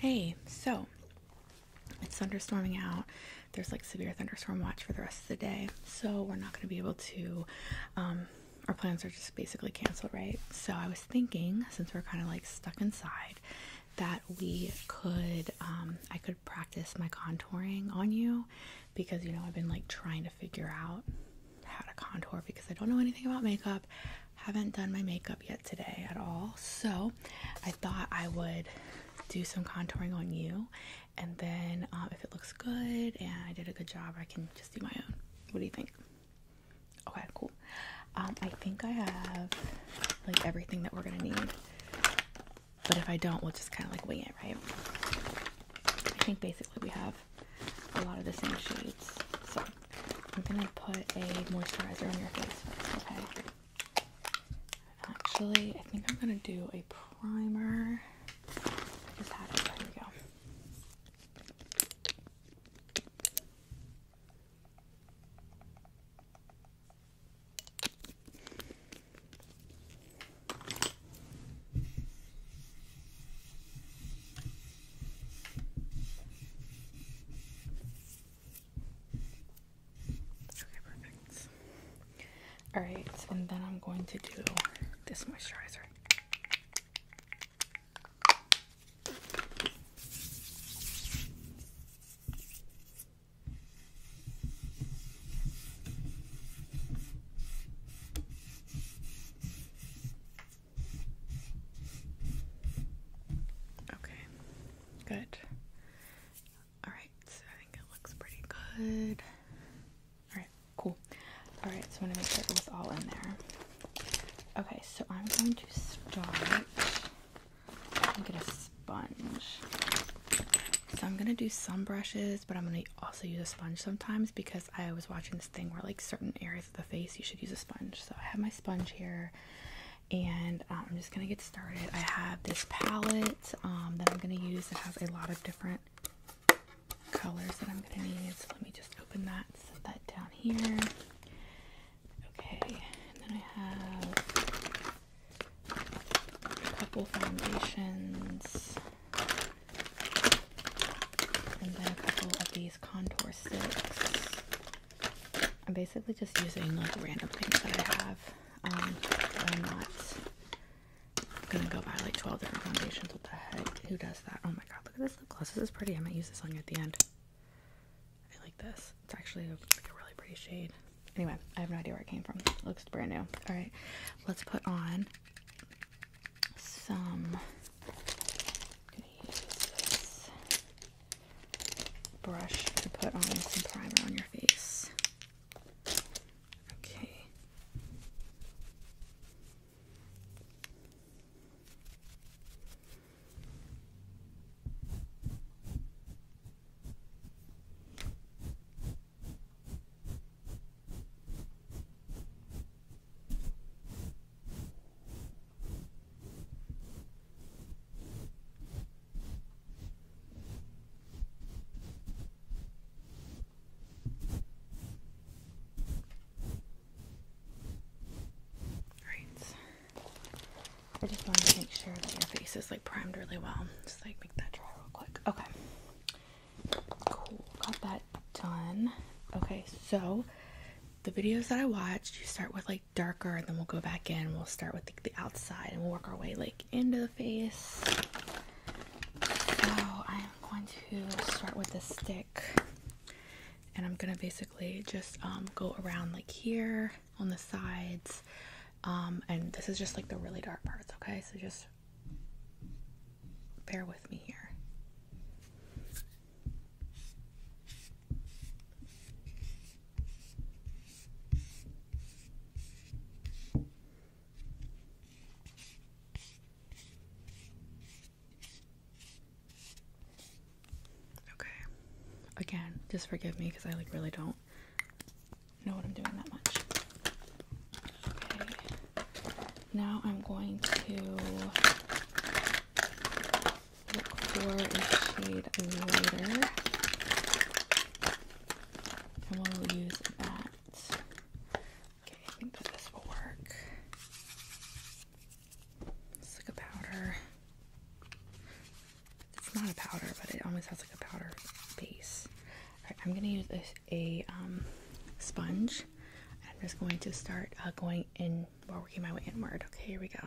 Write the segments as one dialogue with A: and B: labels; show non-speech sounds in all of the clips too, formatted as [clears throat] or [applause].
A: Hey, so it's thunderstorming out. There's like severe thunderstorm watch for the rest of the day, so we're not going to be able to. Um, our plans are just basically canceled, right? So I was thinking, since we're kind of like stuck inside, that we could, um, I could practice my contouring on you because you know I've been like trying to figure out how to contour because I don't know anything about makeup haven't done my makeup yet today at all, so I thought I would do some contouring on you, and then um, if it looks good and I did a good job, I can just do my own. What do you think? Okay, cool. Um, I think I have like everything that we're gonna need, but if I don't, we'll just kind of like wing it, right? I think basically we have a lot of the same shades, so I'm gonna put a moisturizer on your face first, okay? Actually, I think I'm gonna do a primer. There we go. Alright, and then I'm going to do this moisturizer. Okay. Good. Alright, so I think it looks pretty good. Alright, cool. Alright, so I want to make sure it's all in there. Okay, so I'm going to start and get a sponge. So I'm gonna do some brushes, but I'm gonna also use a sponge sometimes because I was watching this thing where like certain areas of the face you should use a sponge. So I have my sponge here and uh, I'm just gonna get started. I have this palette um, that I'm gonna use that has a lot of different colors that I'm gonna need. So let me just open that, set that down here. Okay, and then I have a couple foundations and then a couple of these contour sticks. I'm basically just using like random things that I have. Um, I'm not gonna go buy like 12 different foundations. What the heck? Who does that? Oh my god, look at this lip gloss. This is pretty. I might use this on at the end. I like this. It's actually a, like a really pretty shade. Anyway, I have no idea where it came from. looks brand new. Alright, let's put on some brush to put on some primer on your face. Okay. Alright. I just want to make sure that your face is like primed really well. Just like make that dry real quick. Okay. Cool. Got that done. Okay, so the videos that I watched, you start with like darker and then we'll go back in we'll start with the, outside and we'll work our way like into the face so i'm going to start with the stick and i'm gonna basically just um, go around like here on the sides um, and this is just like the really dark parts okay so just bear with me here Okay. Again, just forgive me because I like really don't know what I'm doing that much. Okay. Now I'm going to look for a shade lighter. And we'll use that. Okay, I think that this will work. It's like a powder. It's not a powder, but it almost has like a powder base. Alright, I'm gonna use a, a um, sponge. I'm just going to start uh, going in, while working my way inward. Okay, here we go.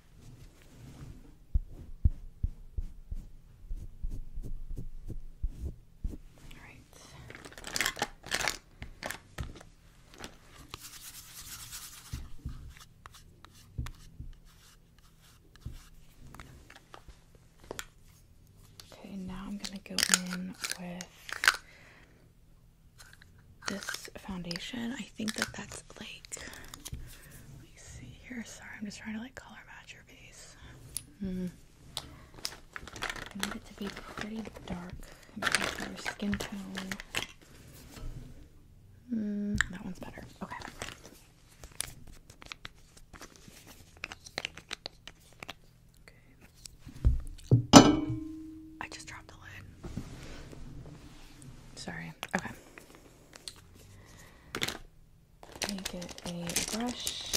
A: All right. Okay, now I'm going to go in with this foundation. I think that that's like see here. Sorry, I'm just trying to like color match your base. Mm-hmm. I need it to be pretty dark. Your skin tone. Mm, that one's better. Okay. Okay. I just dropped the lid. Sorry. Okay make it a brush.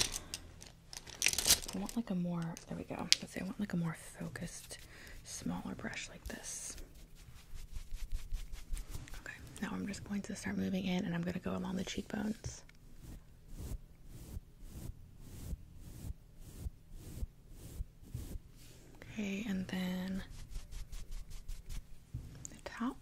A: I want like a more, there we go. Let's see, I want like a more focused, smaller brush like this. Okay, now I'm just going to start moving in and I'm gonna go along the cheekbones. Okay, and then the top.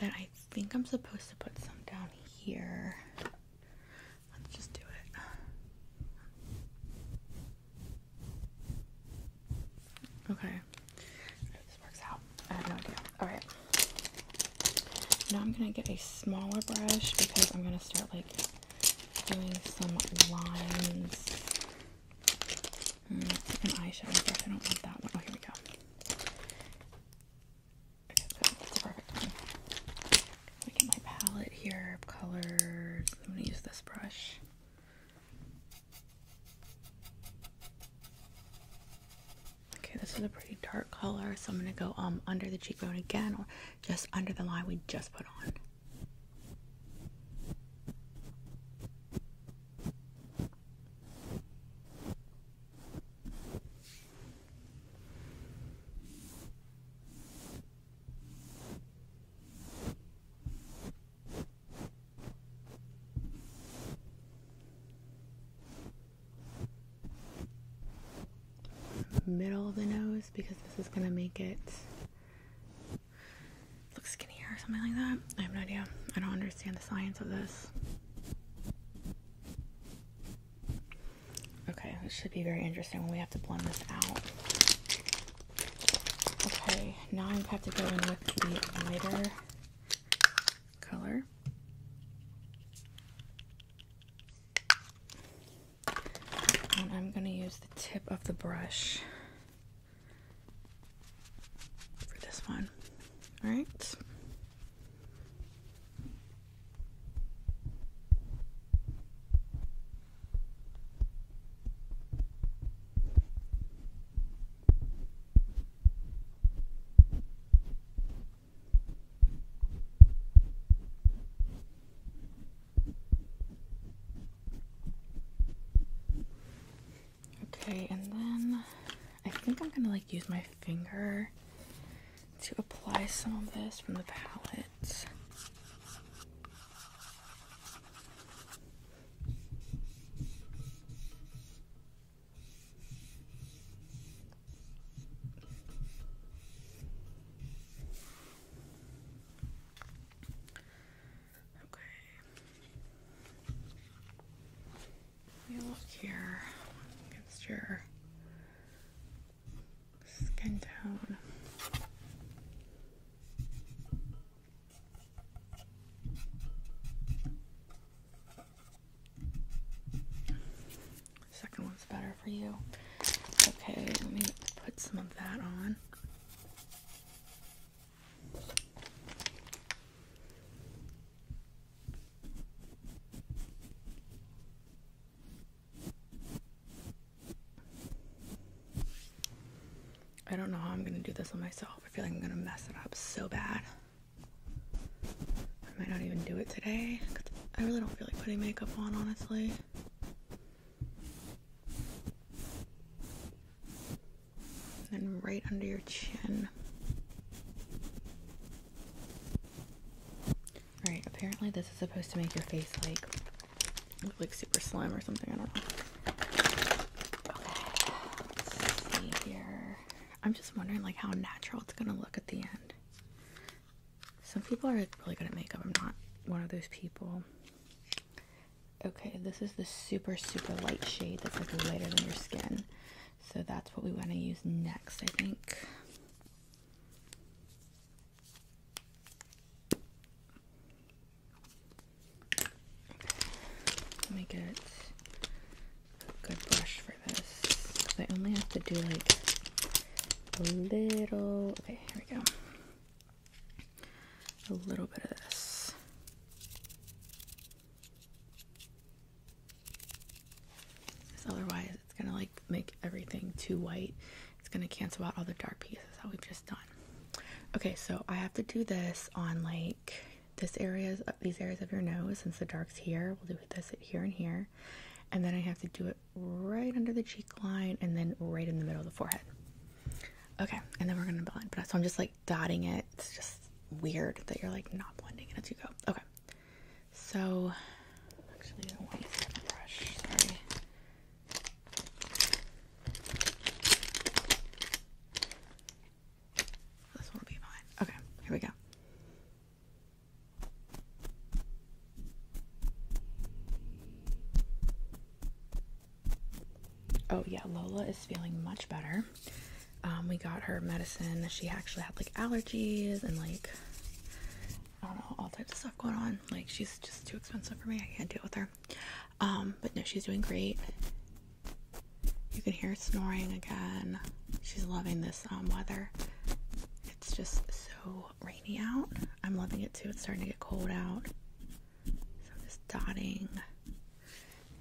A: And then I I think I'm supposed to put some down here. Let's just do it. Okay. This works out. I have no idea. Alright. Now I'm gonna get a smaller brush because I'm gonna start like doing some lines. Mm, eyeshadow I don't want that one. Oh, here we go. So that's perfect. Let me get my palette here colors. I'm gonna use this brush. Okay, this is a pretty dark color, so I'm gonna go um under the cheekbone again, just under the line we just put on middle of the nose because this is gonna make it look skinnier or something like that. I have no idea. I don't understand the science of this. Okay, this should be very interesting when we have to blend this out. Okay, now I have to go in with the lighter color. And I'm going to use the tip of the brush for this one. Alright. Okay, and then I think I'm gonna like use my finger to apply some of this from the palette. Okay. You look here against your skin tone. Second one's better for you. Okay, let me put some of that on. I don't know how I'm gonna do this on myself. I feel like I'm gonna mess it up so bad. I might not even do it today. I really don't feel like putting makeup on, honestly. And right under your chin. Alright, apparently this is supposed to make your face like look like super slim or something. I don't know. Okay. Let's see here. I'm just wondering like how natural it's gonna look at the end. Some people are really good at makeup. I'm not one of those people. Okay, this is the super super light shade that's like lighter than your skin. So that's what we want to use next, I think. Let me get a good brush for this. I only have to do like a little. Okay, here we go. A little bit of this. Because otherwise, it's gonna like make everything too white. It's gonna cancel out all the dark pieces that we've just done. Okay, so I have to do this on like this areas, uh, these areas of your nose. Since the dark's here, we'll do this here and here, and then I have to do it right under the cheek line and then right in the middle of the forehead. Okay, and then we're gonna blend. so I'm just like dotting it. It's just weird that you're like not blending it as you go. Okay. So, actually, I don't want to brush. Sorry. This will be fine. Okay, here we go. Oh, yeah, Lola is feeling much better. Um, we got her medicine. She actually had like allergies and like I don't know, all types of stuff going on. Like she's just too expensive for me. I can't deal with her. Um, but no, she's doing great. You can hear snoring again. She's loving this um, weather. It's just so rainy out. I'm loving it too. It's starting to get cold out. So I'm just dotting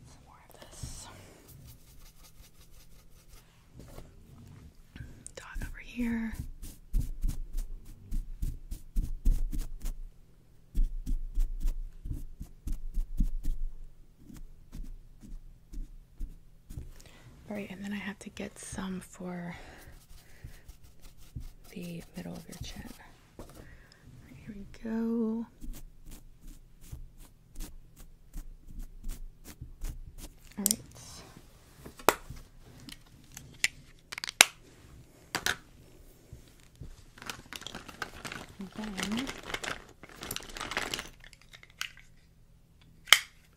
A: some more of this. Dot over here. Alright, and then I have to get some for the middle of your chin. here we go. All right. then I'm gonna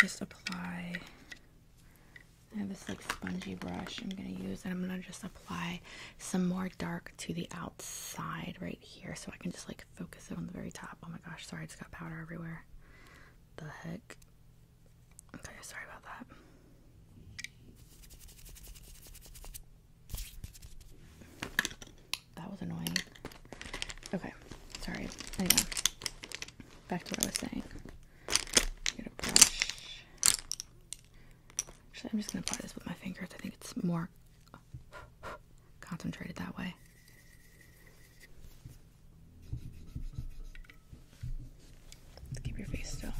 A: just apply. I have this like spongy brush I'm gonna use, and I'm gonna just apply some more dark to the outside right here, so I can just like focus it on the very top. Oh my gosh, sorry, I just got powder everywhere. The heck? Okay, sorry about that. That was annoying. Okay, sorry. Anyway, back to what I was saying. Actually, I'm just gonna apply this with my fingers. I think it's more concentrated that way. Keep your face still.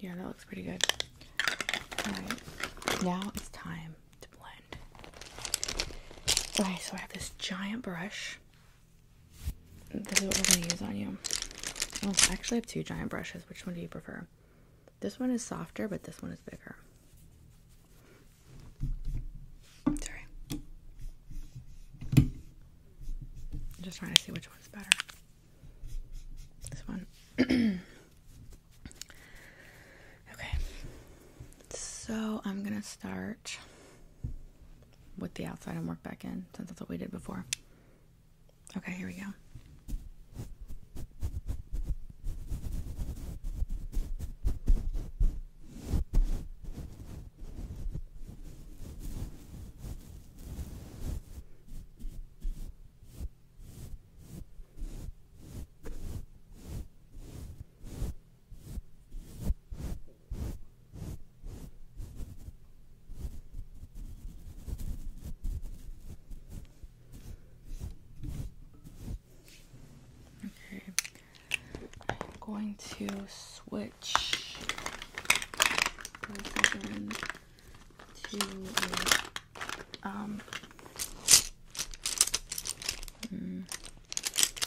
A: Yeah, that looks pretty good. Alright, now it's time Alright, so I have this giant brush. This is what we're going to use on you. Oh, I actually have two giant brushes. Which one do you prefer? This one is softer, but this one is bigger. Sorry. I'm just trying to see which one's better. This one. [clears throat] Okay, so I'm gonna start with the outside and work back in since that's what we did before. Okay, here we go. Okay, I'm going to switch to um, hmm.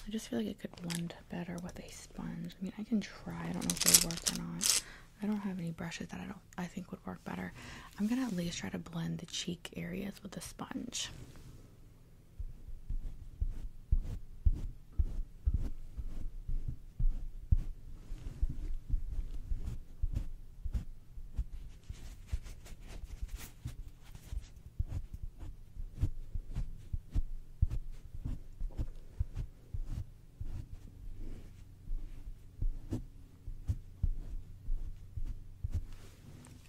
A: I just feel like it could blend better with a sponge. I mean, I can try. I don't know if it'll work or not. I don't have any brushes that I don't I think would work better. I'm gonna at least try to blend the cheek areas with a sponge.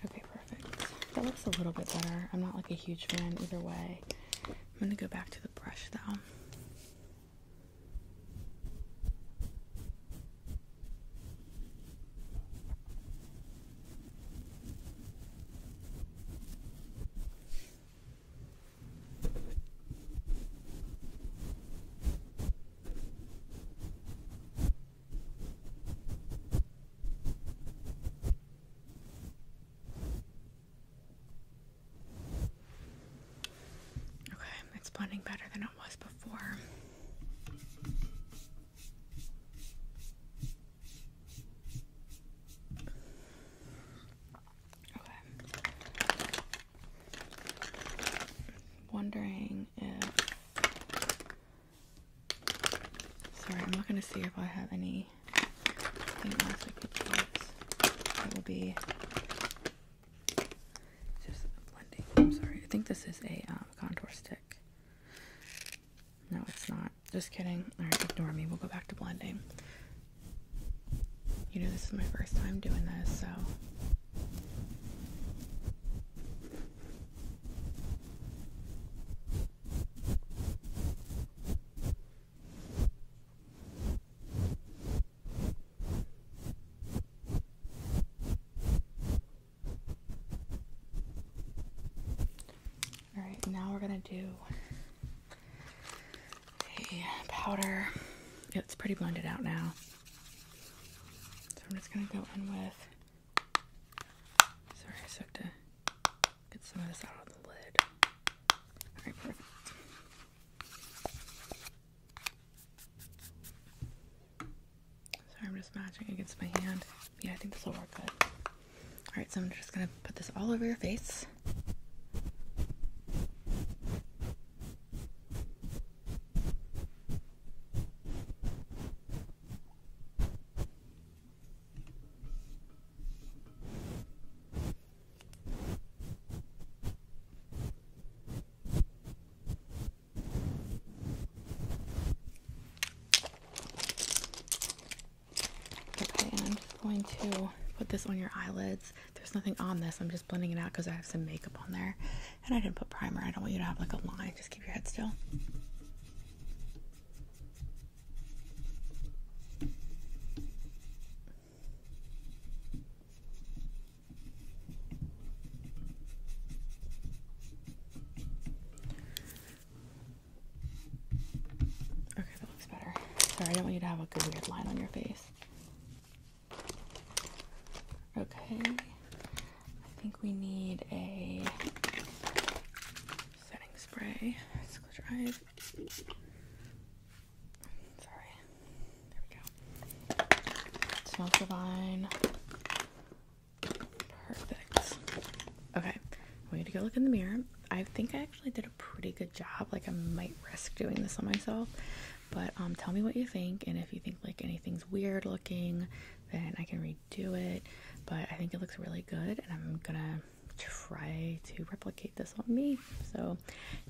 A: Okay, perfect. That looks a little bit better. I'm not like a huge fan either way. I'm gonna go back to the brush though. Okay, it's blending better than was before. Okay. Wondering if. Sorry, I'm not going to see if I have anything else I could use. It will be just blending. I'm sorry. I think this is a um, contour stick. No, it's not. Just kidding. Alright, ignore me. We'll go back to blending. You know, this is my first time doing this, so. Alright, now we're gonna do a powder. It's pretty blended out now. So I'm just gonna go in with. Sorry, I so to get some of this out of the lid. Alright, Sorry, I'm just matching against my hand. Yeah, I think this will work good. Alright, so I'm just gonna put this all over your face. Okay, and I'm just going to put this on your eyelids. There's nothing on this. I'm just blending it out because I have some makeup on there. And I didn't put primer. I don't want you to have like a line. Just keep your head still. Okay, that looks better. Sorry, I don't want you to have a good weird line on your face. Okay, I think we need a setting spray. Let's close drive. Sorry. There we go. It smells divine. Perfect. Okay, we need to go look in the mirror. I think I actually did a pretty good job. Like I might risk doing this on myself, but um, tell me what you think, and if you think like anything's weird looking, then I can redo it. But I think it looks really good, and I'm gonna try to replicate this on me. So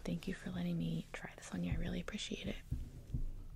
A: thank you for letting me try this on you. I really appreciate it.